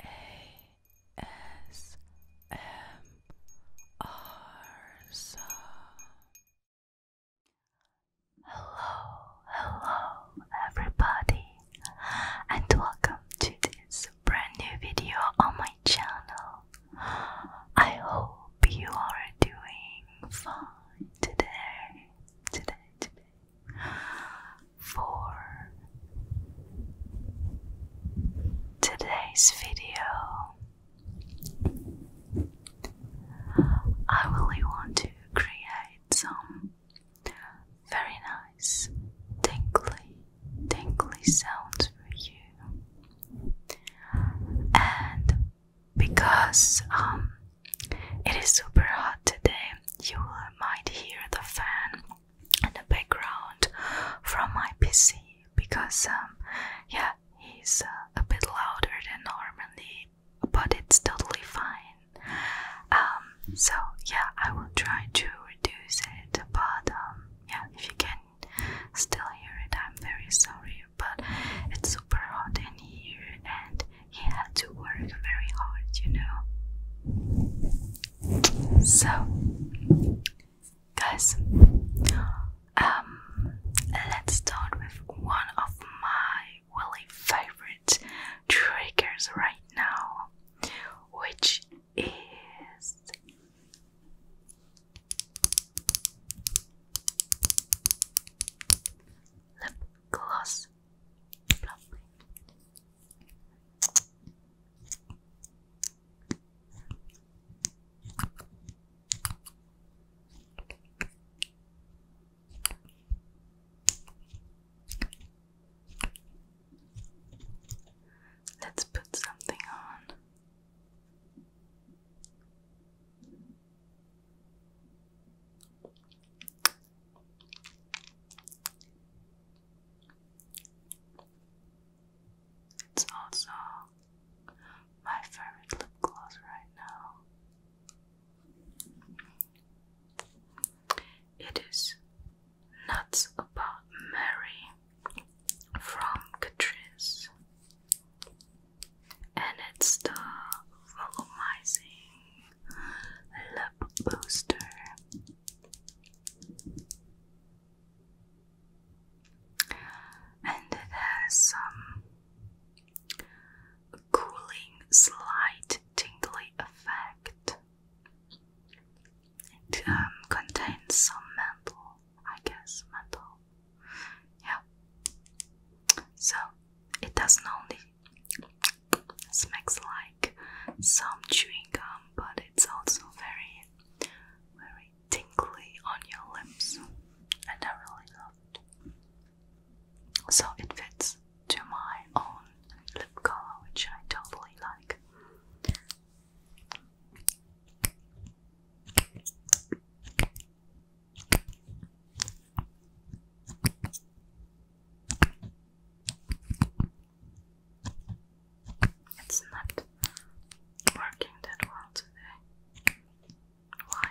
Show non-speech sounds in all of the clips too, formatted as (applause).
ASMR. Hello, hello, everybody, and welcome to this brand new video on my channel. I hope you are doing fine today, today, today for today's video. I really want to create some very nice tinkly, tingly sounds for you, and because um, it is super hot today, you might hear the fan in the background from my PC because, um, yeah, it's uh, a bit louder than normally, but it's totally fine. Um, so yeah, I will try to reduce it, but um, yeah, if you can still hear it, I'm very sorry, but it's super hot in here and he had to work very hard, you know. So, guys, um, let's start with one of my really favorite triggers right now, which is. Lip gloss, Let's put something on. It's also my favorite lip gloss right now. It is Nuts About Mary from Catrice, and it's the volumizing lip booster. And it has some cooling, slight tingly effect. It um, contains some metal, I guess, metal. Yeah. So it doesn't only Smells like some chewing gum, but it's also very, very tingly on your lips, and I really love So it fits to my own lip color, which I totally like. It's not working that well today. Why?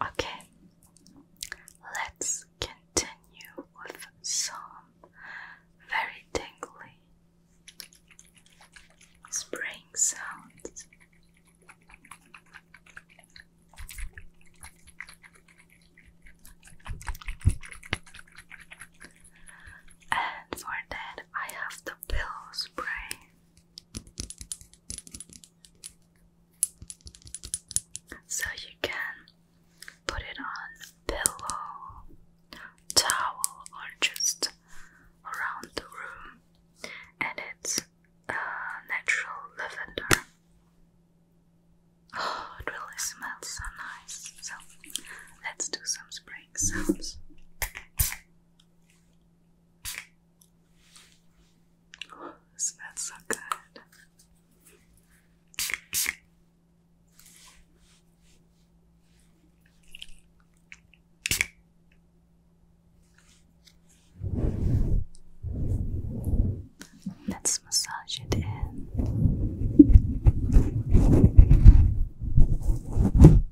Okay, let's continue with some very tingly spring sounds. And for that, I have the pillow spray. So you can put it on pillow, towel, or just around the room, and it's a natural lavender. Oh, it really smells so nice. So let's do some spraying sounds. Oh, smells so good. Let's massage it in.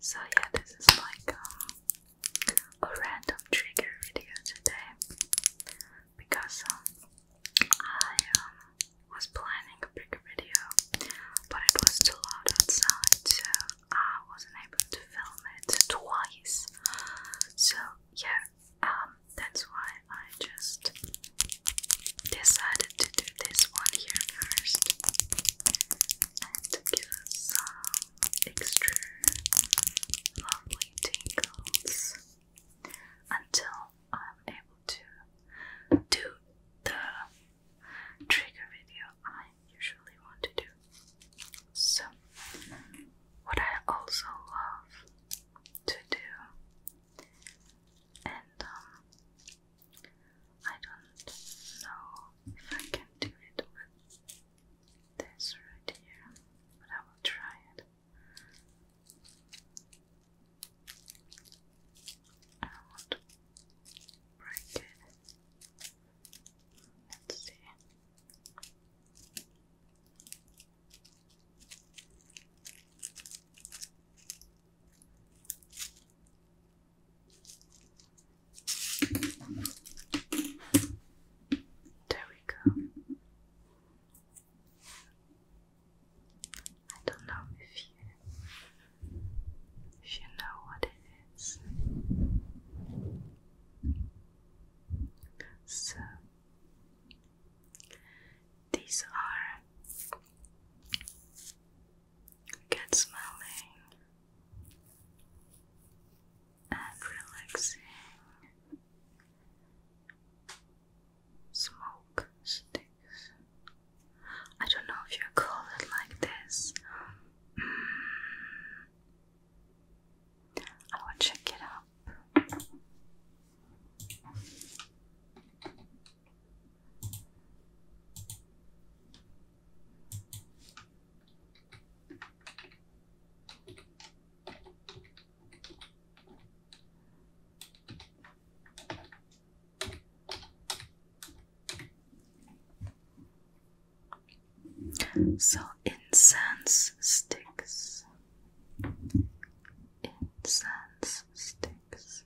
So, yeah, this is like um, a random trigger video today because um, I um, was planning a bigger video, but it was too loud outside, so I wasn't able to film it twice. So yeah, um, that's why I just decided to do this one here first and give some extra lovely tingles until I'm able to do the trigger video I usually want to do. So, what I also love to do, and um, I don't know if I can do it with this right here, but I will try it bracket. There we go. I don't know if you you know what it is. So these are good smelling and relaxing smoke sticks. I don't know if you call it like this. Mm. I will check it up. So incense sticks, incense sticks.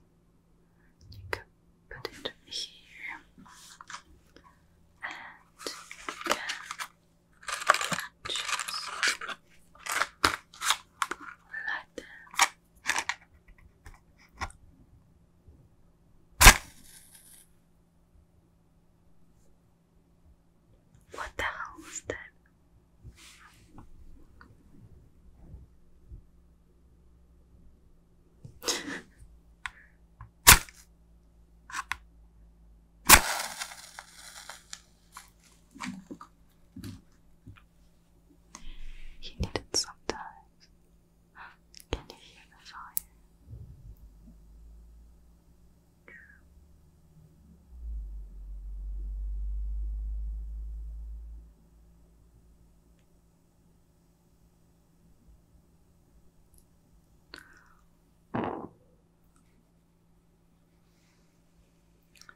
You can put it here, and you can just light them. What the hell was that? he needed some time can you hear the fire?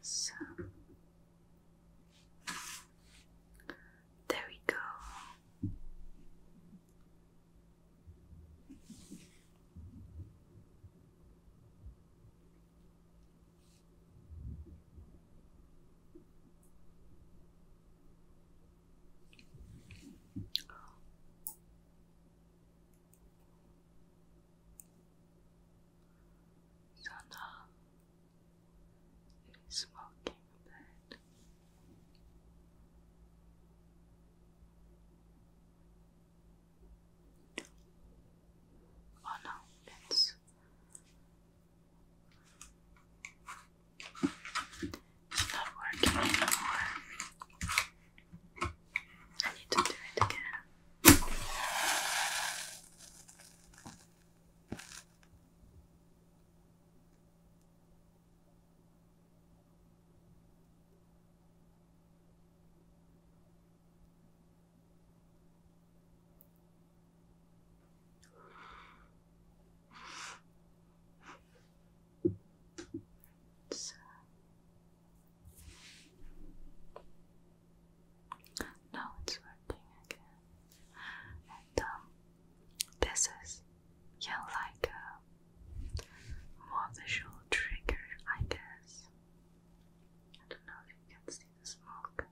So there we go. So now is walking Oh no, it's it's not working anymore. I need to do it again. So. Uh, now it's working again. And um, this is yeah like a uh, more visual trigger, I guess. I don't know if you can see the smoke.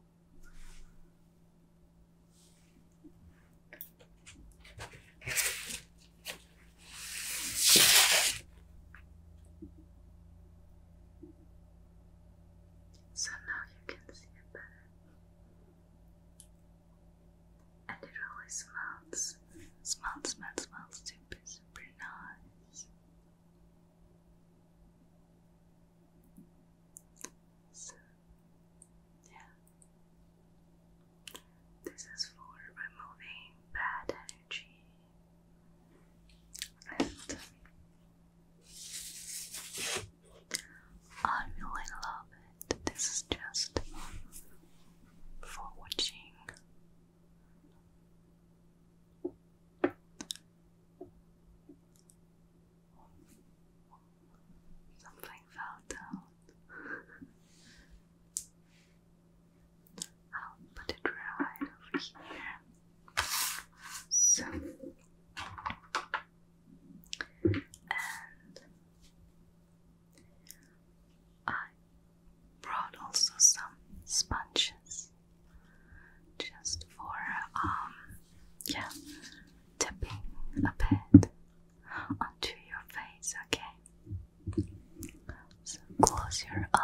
So now you can see it better. And it really smells, smells, smells, smells super, super nice. So, yeah. This is for removing bad energy um, I really love it. This is just um, for watching. Something fell down. I'll put it right over here. So, and I brought also some sponges just for um yeah tapping a bit onto your face okay so close your eyes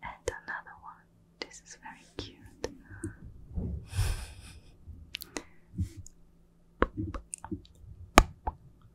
And another one. This is very cute.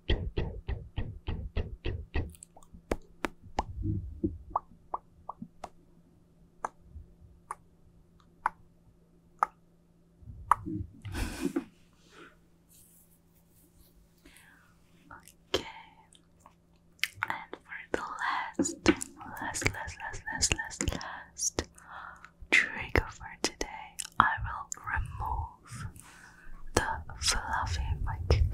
Okay, and for the last, last, last, last, last, last, last trigger for today, I will remove the fluffy mic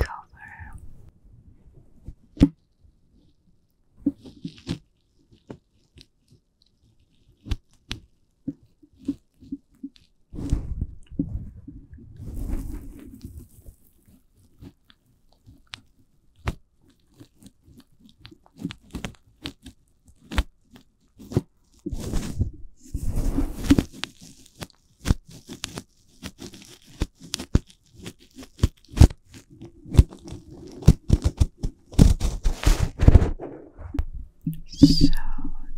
so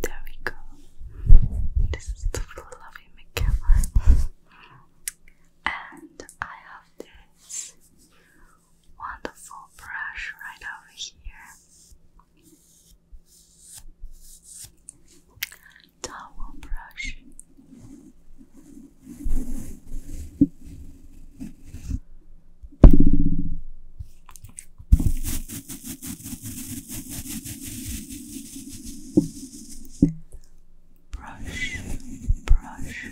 there we go. This is the full loving makeover. and I have this wonderful brush right over here towel brush. Brush, brush,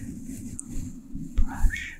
brush, brush,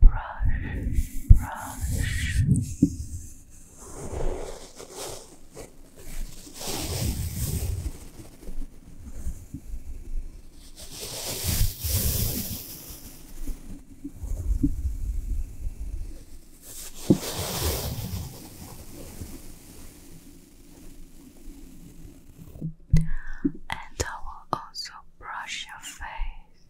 brush, brush. And I will also brush your face.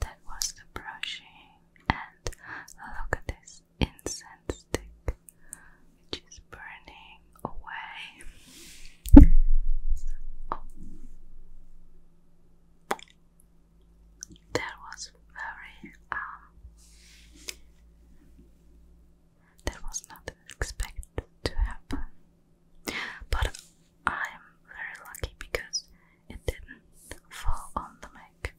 That was the brushing, and look at this incense stick, which is burning away. Oh. That was very um. That was not expected to happen, but I am very lucky because it didn't fall on the mic.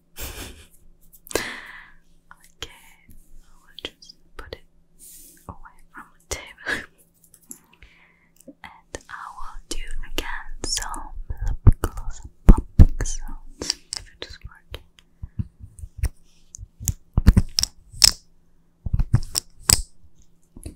okay, so will just put it away from the table. and I will do again some lip gloss popping sounds if it is working. Okay.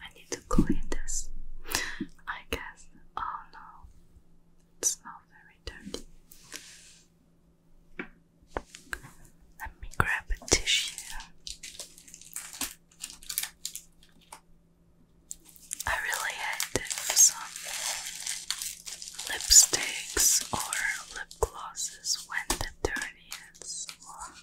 I need to clean this. I guess. Oh no, it's not very dirty. Let me grab a tissue. I really hate if some um, lipsticks or lip glosses when the dirty is. Well,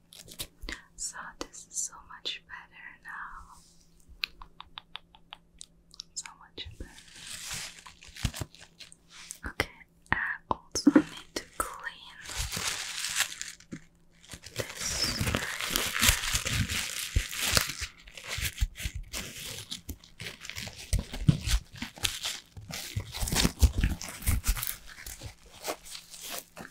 So this is so much better now. So much better. Okay, I also need to clean this it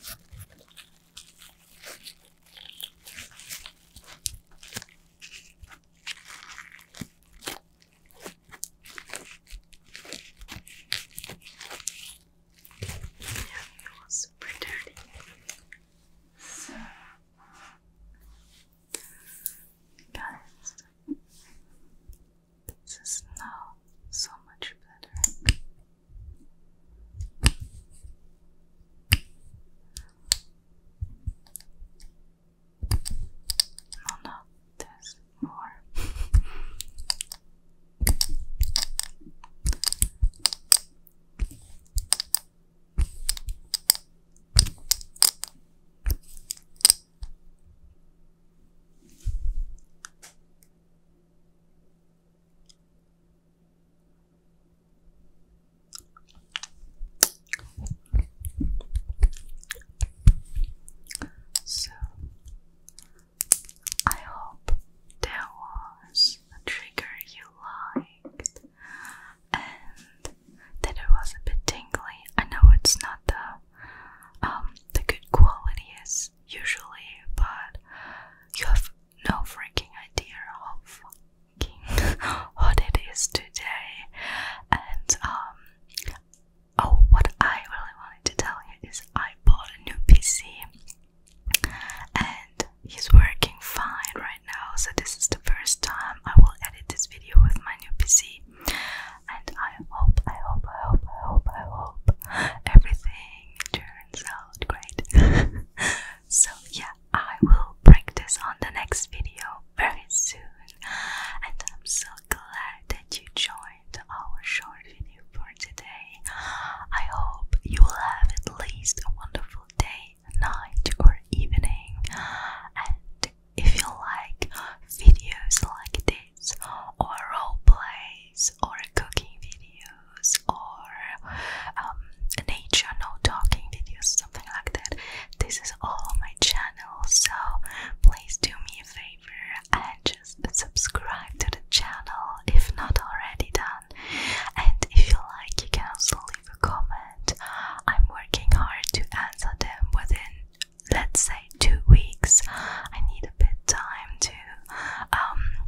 was super dirty. So, uh, guys, this is now so much better. Oh no, there's more. So, I hope there was a trigger you liked and that it was a bit tingly. I know it's not the um the good quality is usually, but you have no freaking idea of, what (laughs) it is today. And um, oh, what I really wanted to tell you is I bought a new PC, and he's working fine right now. So this is the first time I will edit this video with my new PC, and I. I hope, I hope, I hope, I hope, I hope everything turns out great. (laughs) so, yeah, I will practice on the next video very soon. And I'm so glad that you joined our short video for today. I hope you will have at least a wonderful day, night, or evening. And if you like videos like this, or role plays or cooking videos or um, nature no talking videos something like that this is all my channel so please do me a favor and just subscribe to the channel if not already done and if you like you can also leave a comment I'm working hard to answer them within let's say two weeks. I need a bit time to um,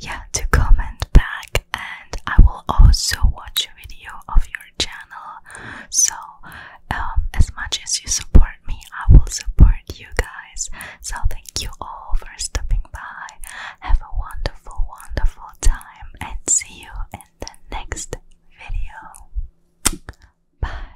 yeah to comment back and I will also watch a video of your channel. So um, as much as you support me, I will support you guys. So thank you all for stopping by. Have a wonderful, wonderful time and see you in the next video. Bye.